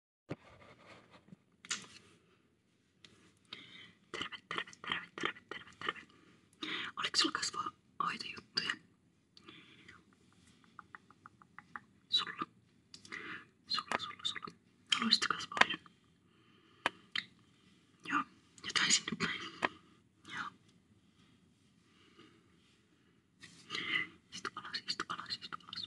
Terve, terve, terve, terve, terve, terve. Oliko sulla kasvohoitojuttuja? Sulla. Sulla, sulla, sulla. Haluaisit kasvohoidon? Joo, jotain sinne päin. Joo. Istu alas, istu alas, istu alas.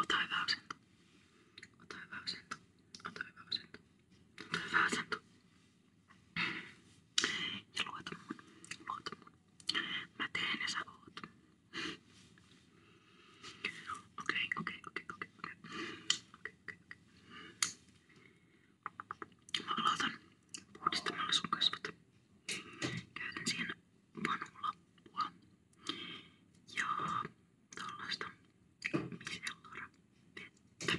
Ota hyvä asento. Ota hyvä asento. Ota hyvä asento. Ota hyvä asento. Ja luota mun. Luota mun. Mä teen ja sä oot. Okei, okei, okei, okei, okei. Okei, okei, okei. Mä aloitan puhdistamalla sun kasvot. Käytän siihen vanulappua ja tuollaista misellara vettä.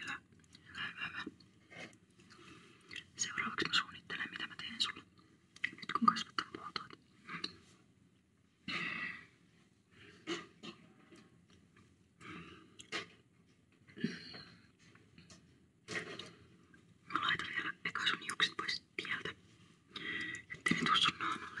Hyvä, hyvä, hyvä, hyvä. Seuraavaksi mä suunnittelen mitä mä teen sulle. Nyt kun kasvatan poltot. Mä laitan vielä eka sun hiukset pois tieltä, ettei ne tuu sun naamalle.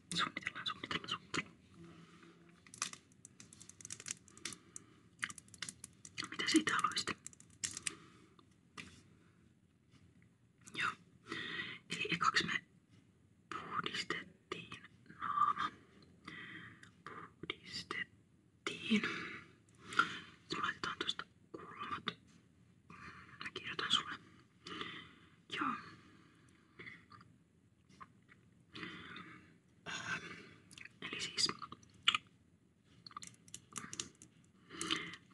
Suunnitellaan, suunnitellaan, suunnitellaan. Mitä siitä haluaisitte? Joo. Eli ekaksi me puhdistettiin naama. Puhdistettiin. Sitten laitetaan tuosta kulmat. Mä kirjoitan sulle. Joo. Öö, eli siis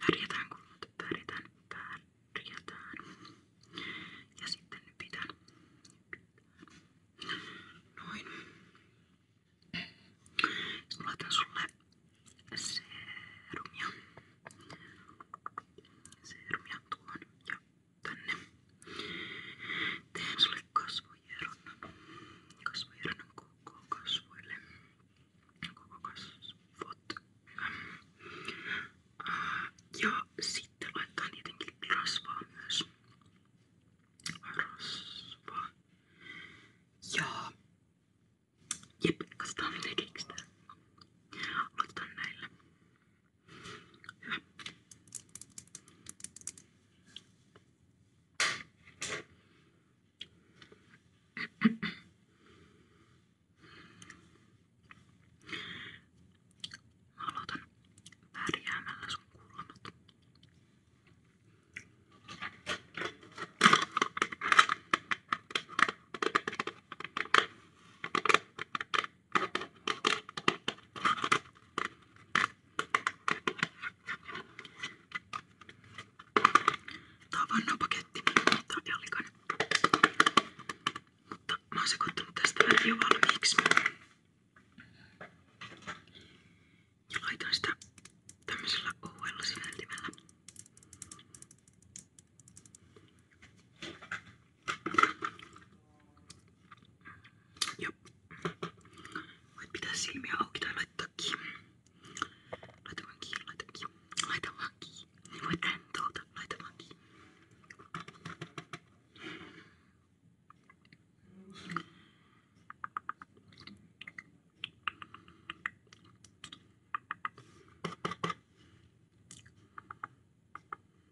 värjätään kulmat, värjätään, värjätään. Ja sitten pitää, pitää. noin. Sitten laitan sulle serumia. Serumia tuon ja tänne. Teen sulle kasvojeronnan. Kasvojeronnan koko kasvoille. Koko kasvot. Ja sitten laitetaan tietenkin rasvaa myös. Rasvaa. Ja jep, katsotaan miten keksitään. Aloitetaan näillä. Aloitan värjäämällä sun kulmat. Tää on vannapaketti. Tää on jalkan. Mutta mä oon sekoittanut tästä vähän jo valmiiksi. Ja laitan sitä tämmöisellä ouella sineltimellä Joo. Voit pitää silmiä auki tai laittaa kiinni. Laita vaan kiinni, laita kiinni. Laita vaan kiinni. Niin voit rentouta, laita vaan kiinni. Joo.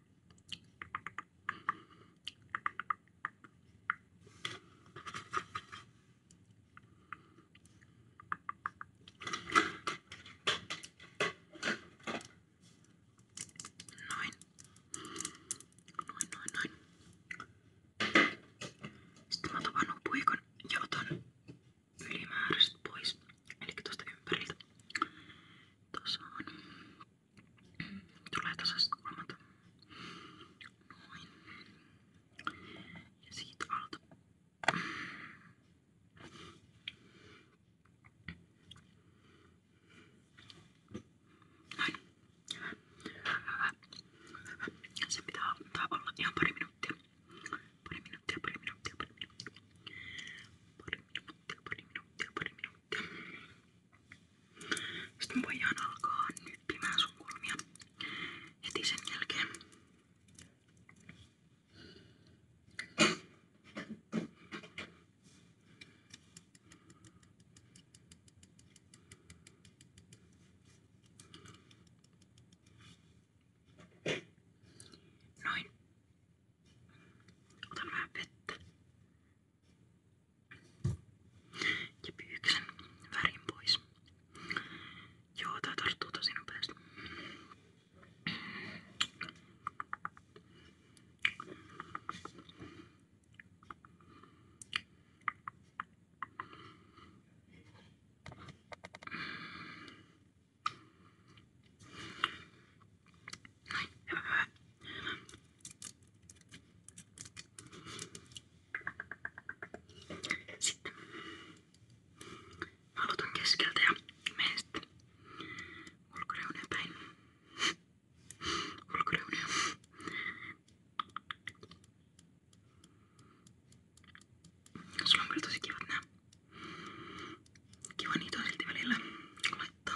Noin. Noin, noin, noin. Sitten mä otan puikon ja otan ylimääräiset pois. Eli tuosta ympäriltä. Tuossa on. Tulee tasaiset kulmat. Noin. Ja siitä alta. Noin. Hyvä. Se pitää ottaa olla ihan pari minuuttia. Pari minuuttia, pari minuuttia, pari minuuttia. Pari minuuttia, pari minuuttia, pari minuuttia. Sitten me voidaan alkaa nyppimään sun kulmia heti sen jälkeen. Noin. Otan vähän vettä. Ja pyyksen värin pois. Joo, tää tarttuu tosi nopeasti. Sitten mä aloitan keskeltä ja menen sitten ulkoreuneen päin. Ulkoreuneen. Sulla on kyllä tosi kivat nää. Kiva niitä on silti välillä laittaa.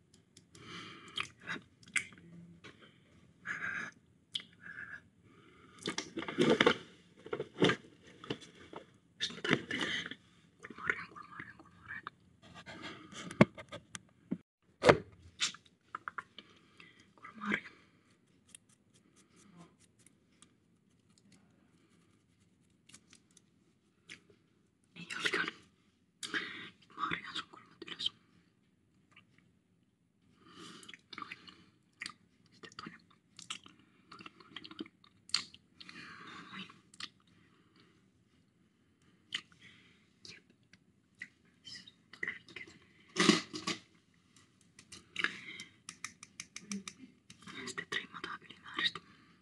Sitten mä tappelen kulmoreen, kulmoreen, kulmoreen. Kulmoreen. Niin olikaan. Nyt mä harjaan sun kulmat ylös. Noin. Sitten toinen. Toinen, toinen, toinen. Noin. Jep. Siis todella pitkätä. Sitten trimmataan ylimääräistä.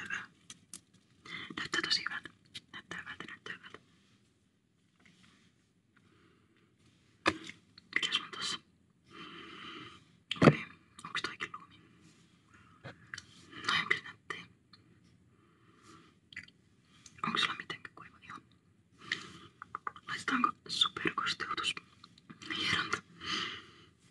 Hyvä. Näyttää tosi hyvältä. Näyttää hyvältä, näyttää hyvältä. Mikäs on tossa? Okei, okay. onks toikin luumi? Noin on kyllä nättee. Onko sulla mitenkään kuiva iho? Laitetaanko superkosteutus? Hieronta.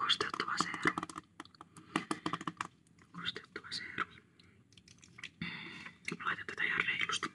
Kosteuttava seerumi. Kosteuttava seerumi. Laitan tätä ihan reilusti.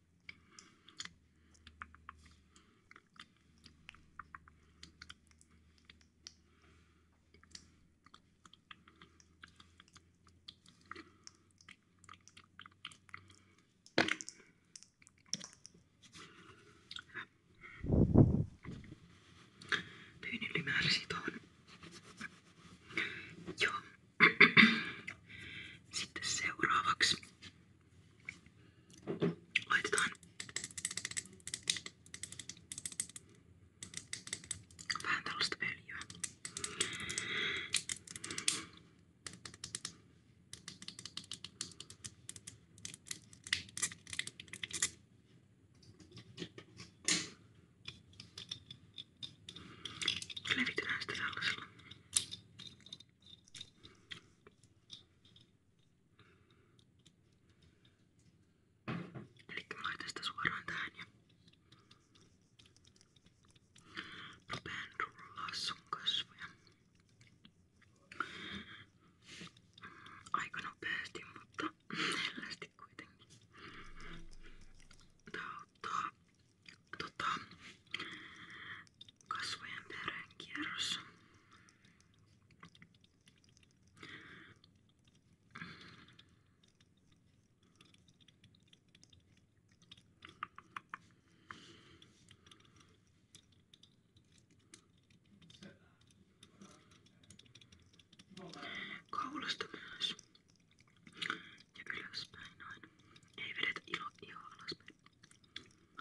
Pyynin ylimääräisiä tuohon. Joo. Sitten seuraavaksi Laitetaan vähän tällaista öljyä. Levitetään sitä tällaisella Elikkä mä laitan sitä suoraan tähän ja rupean rullaa sun kasvoja aika nopeasti, mutta hellästi kuitenkin. Tää auttaa tota, kasvojen verenkierrossa. Kaulasta myös ja ylöspäin noin. Ei vedetä ilo ihoa alaspäin.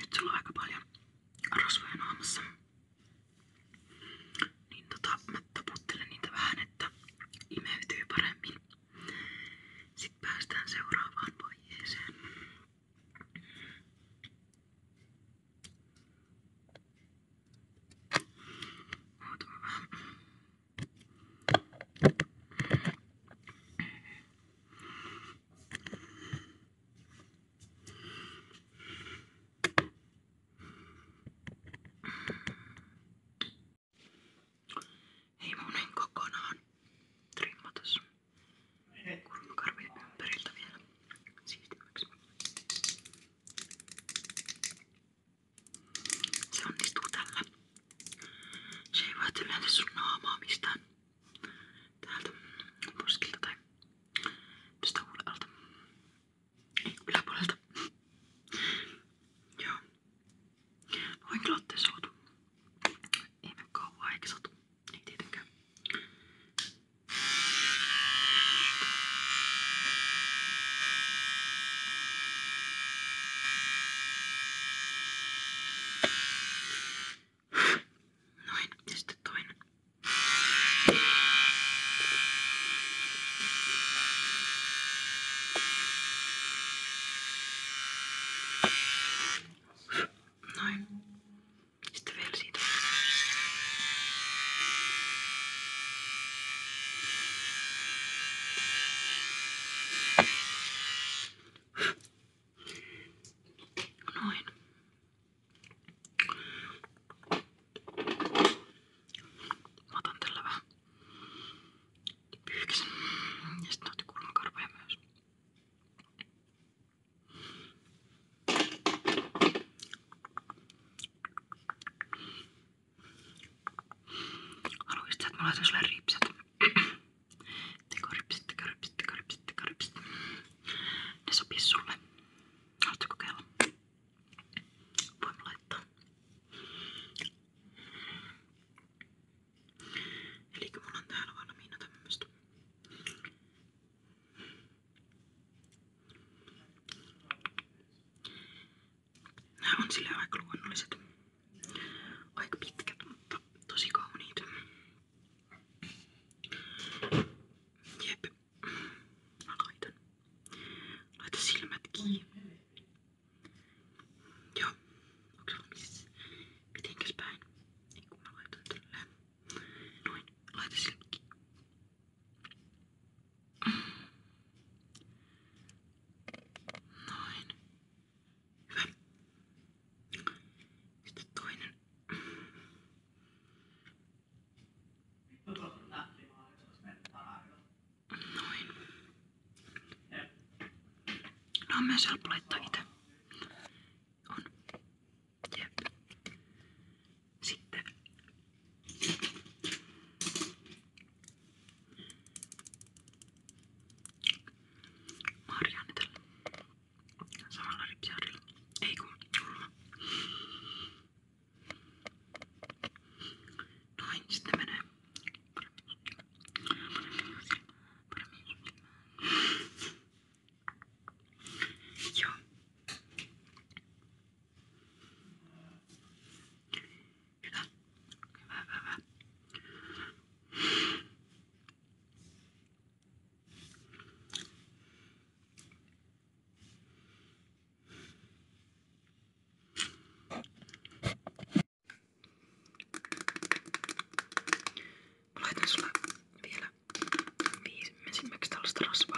Nyt sulla on aika paljon rasvoja naamassa. Niin tota, mä taputtelen niitä vähän, että imeytyy paremmin. Sitten päästään seuraavaan vaiheeseen. Ootapa vähän. Hei, mun en kokonaan trimmata sun kulmakarvi ympäriltä vielä siistimäksi. Se onnistuu tällä. Se ei välttämättä sun naamaa mistään täältä poskilta tai tästä huolelta. Ei yläpuolelta. Joo. Voin kyllä ottaa soutu. Ei me kauan eikä satu. Ei tietenkään. Noin, ja sitten toinen. Noin. Sitten vielä siitä. Noin. Mä otan tällä vähän pyyhkäsen. Ja sitten otti kulmakarvoja myös. Haluaisit sä, että mä laitan sulle ripset? Tekoripsit, tekoripsit, tekoripsit, tekoripsit. Ne sopii sulle. Haluatko kokeilla? Voin laittaa. Eli mulla on täällä valmiina tämmöstä. Nämä on sille aika luonnolliset. Aika pitkät, mutta tosi kauniit. Jep. Mä laitan. Laita silmät kiinni. Joo. Onks valmis? Mitenkäs Noin. Laita Noin. Hyvä. Sitten toinen. Noin. No on myös helppo laittaa itse. On. Jep. Sitten Marjaani tällä samalla ripsjärjellä. Ei kun kulma. Noin, sitten menee Joo. Hyvä, hyvä, hyvä. Mä laitan sulle vielä viimeisimmäksi tällaista rasvaa,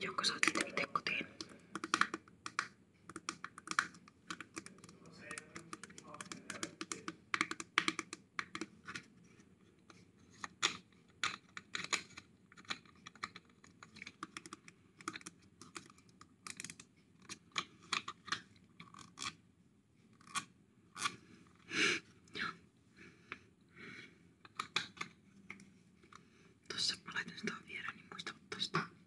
jonka saatte itse kotiin. Tuossa mä laitan sitä vielä, niin muista ottaa sitä.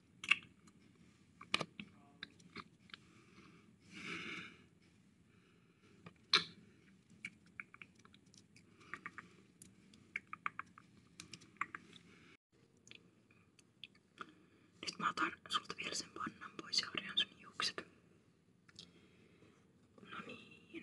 Nyt mä otan sulta vielä sen pannan pois ja orjan sun hiukset. No niin.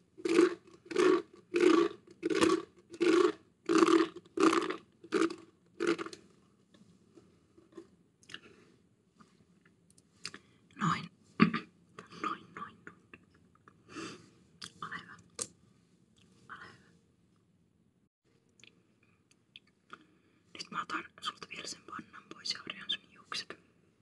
Noin. Noin, noin, noin. Ole hyvä. Ole hyvä. Nyt mä otan sulta vielä sen pannan pois ja orjan sun juukset.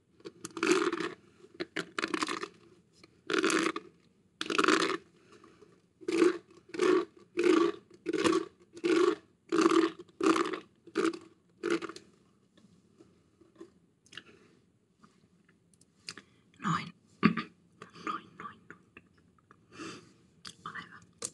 Noin. Noin, noin, noin. Ole hyvä. Ole hyvä.